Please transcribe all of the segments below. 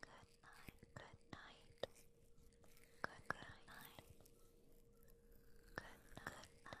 Good night, good night. Good, good night. good night.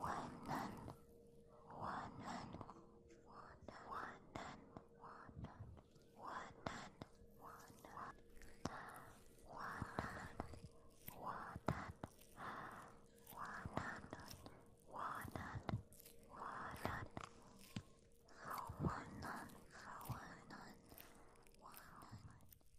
Wanan, wanan, wanan, wanan, wanan, wanan, wanan, wanan, wanan, wanan, wanan, wanan, wanan, wanan, wanan.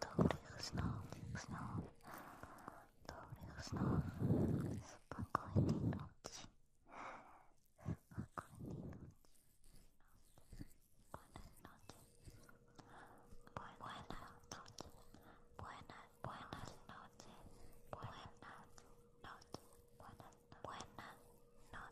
добрых снов, снов, добрых снов, спокойной ночи, спокойной ночи, спокойной ночи, buenas noches, buenas, buenas noches, buenas noches, buenas, buenas noches.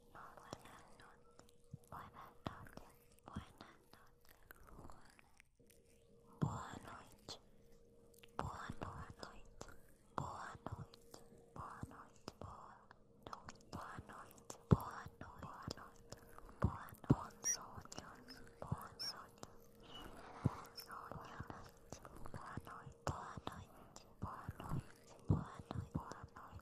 boa noite, boa noite, boa noite, boa noite, boa noite, boa noite, boa noite, boa noite, bons sonhos, bons sonhos, boa noite, boa noite, boa noite, boa noite, boa noite, boa noite.